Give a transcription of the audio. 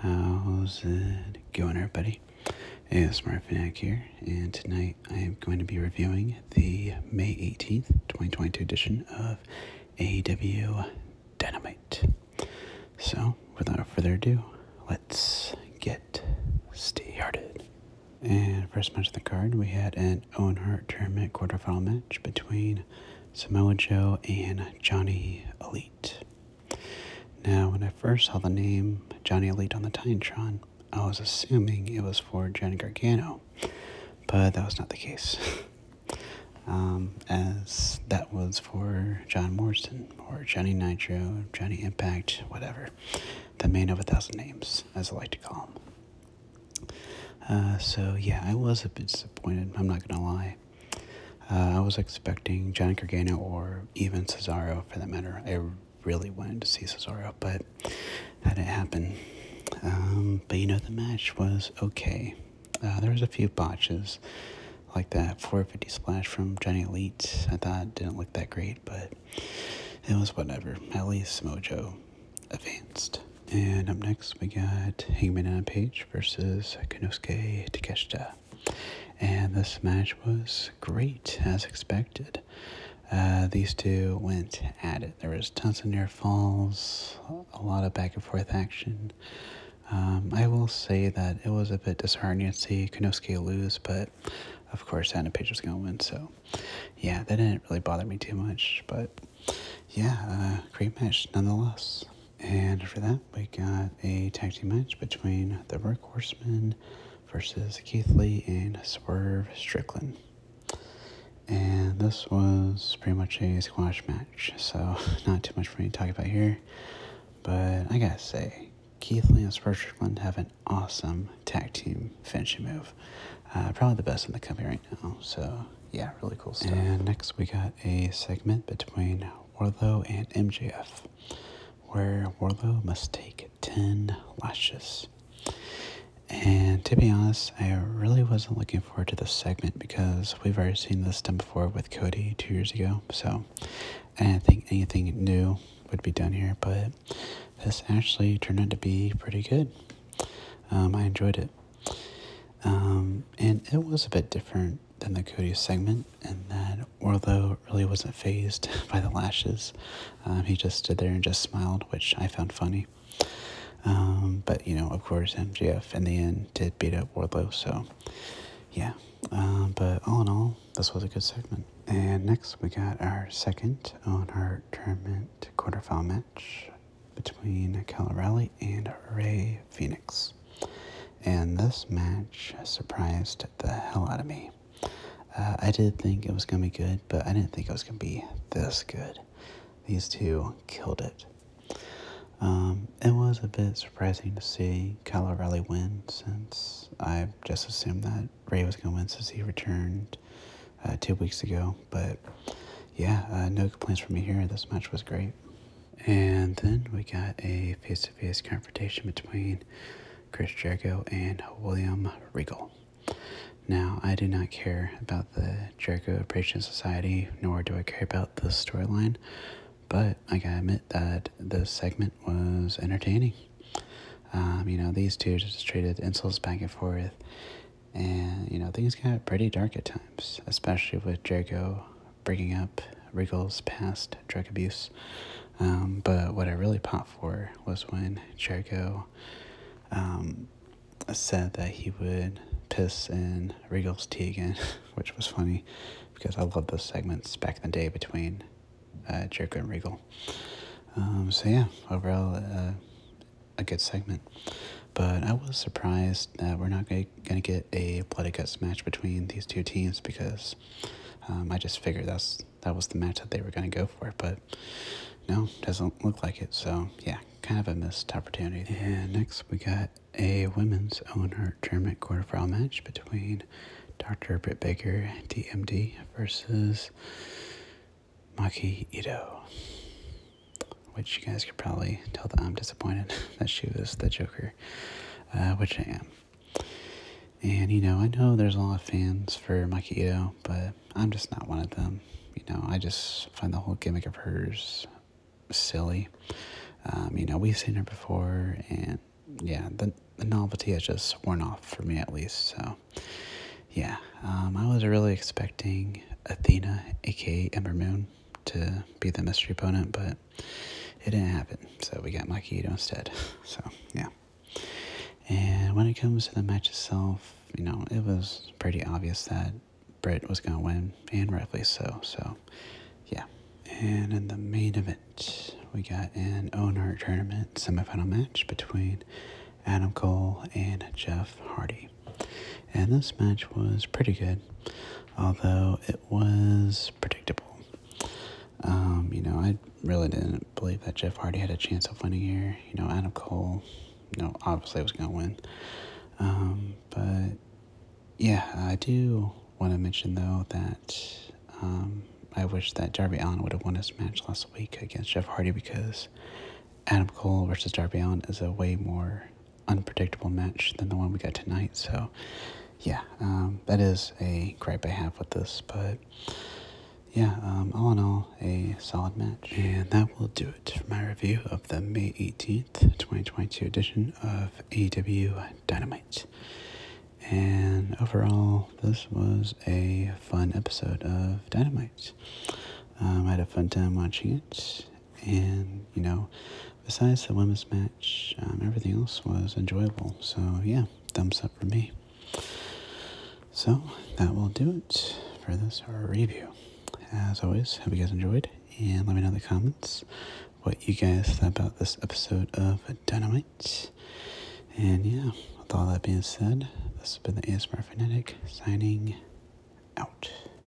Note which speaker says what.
Speaker 1: How's it going, everybody? It's Marfinac here, and tonight I am going to be reviewing the May 18th, 2022 edition of AEW Dynamite. So, without further ado, let's get started. And first match of the card, we had an Owen Hart tournament quarterfinal match between Samoa Joe and Johnny Elite. Now, when I first saw the name Johnny Elite on the Titantron, I was assuming it was for Johnny Gargano, but that was not the case, um, as that was for John Morrison or Johnny Nitro, Johnny Impact, whatever, the man of a thousand names, as I like to call him. Uh, so yeah, I was a bit disappointed. I'm not gonna lie. Uh, I was expecting Johnny Gargano or even Cesaro for that matter. I really wanted to see Cesaro, but that didn't happen. Um, but you know, the match was okay. Uh, there was a few botches, like that 450 splash from Johnny Elite. I thought didn't look that great, but it was whatever. At least Mojo advanced. And up next, we got Hangman on Page versus Kunosuke Takeshita. And this match was great as expected. Uh, these two went at it. There was tons of near falls, a lot of back and forth action. Um, I will say that it was a bit disheartening to see Kunosuke lose, but of course, Anna Page was going to win. So, yeah, that didn't really bother me too much. But, yeah, uh, great match nonetheless. And after that, we got a tag team match between the Rock Horsemen versus Keith Lee and Swerve Strickland. And this was pretty much a squash match, so not too much for me to talk about here. But I gotta say, Keith Lee and Swerve Strickland have an awesome tag team finishing move. Uh, probably the best in the company right now, so yeah, really cool stuff. And next we got a segment between Warlow and MJF, where Warlow must take 10 lashes. And to be honest, I really wasn't looking forward to this segment because we've already seen this done before with Cody two years ago. So I didn't think anything new would be done here, but this actually turned out to be pretty good. Um, I enjoyed it. Um, and it was a bit different than the Cody segment, and that Orlo really wasn't phased by the lashes. Um, he just stood there and just smiled, which I found funny. Um, but, you know, of course, MGF in the end did beat up Wardlow, so yeah. Um, but all in all, this was a good segment. And next, we got our second on our tournament quarterfinal match between Cal and Ray Phoenix. And this match surprised the hell out of me. Uh, I did think it was going to be good, but I didn't think it was going to be this good. These two killed it. Um, it was a bit surprising to see Kyle O'Reilly win since I just assumed that Ray was going to win since he returned uh, two weeks ago. But yeah, uh, no complaints from me here. This match was great. And then we got a face to face confrontation between Chris Jericho and William Regal. Now, I do not care about the Jericho Appreciation Society, nor do I care about the storyline, but I gotta admit that this segment was entertaining. Um, you know, these two just traded insults back and forth, and, you know, things got pretty dark at times, especially with Jericho bringing up Riggle's past drug abuse. Um, but what I really popped for was when Jericho um, said that he would piss in Riggle's tea again, which was funny because I love those segments back in the day between uh, Jericho and Regal. Um, so yeah, overall, uh, a good segment. But I was surprised that we're not going to get a blood guts match between these two teams because um, I just figured that's that was the match that they were going to go for. But no, doesn't look like it. So yeah, kind of a missed opportunity. And next we got a women's own heart tournament quarterfinal match between Dr. Britt Baker, DMD, versus Maki Ito which you guys could probably tell that I'm disappointed that she was the Joker, uh, which I am. And you know, I know there's a lot of fans for Mikey but I'm just not one of them. You know, I just find the whole gimmick of hers silly. Um, you know, we've seen her before, and yeah, the the novelty has just worn off for me at least. So, yeah, um, I was really expecting Athena, aka Ember Moon, to be the mystery opponent, but it didn't happen. So we got Makito instead. So yeah. And when it comes to the match itself, you know, it was pretty obvious that Britt was gonna win, and rightfully so. So yeah. And in the main event, we got an own art tournament semifinal match between Adam Cole and Jeff Hardy. And this match was pretty good, although it was predictable. Um, you know, I really didn't believe that Jeff Hardy had a chance of winning here. You know, Adam Cole, no, know, obviously was going to win. Um, but yeah, I do want to mention though that um, I wish that Darby Allen would have won this match last week against Jeff Hardy because Adam Cole versus Darby Allen is a way more unpredictable match than the one we got tonight. So, yeah, um, that is a gripe I have with this. But, yeah, um, all in all, a solid match. And that will do it for my review of the May 18th, 2022 edition of AEW Dynamite. And overall, this was a fun episode of Dynamite. Um, I had a fun time watching it, and you know, besides the women's match, um, everything else was enjoyable. So yeah, thumbs up for me. So that will do it for this review. As always, hope you guys enjoyed, and let me know in the comments what you guys thought about this episode of Dynamite. And yeah, with all that being said, this has been the ASMR Fanatic signing out.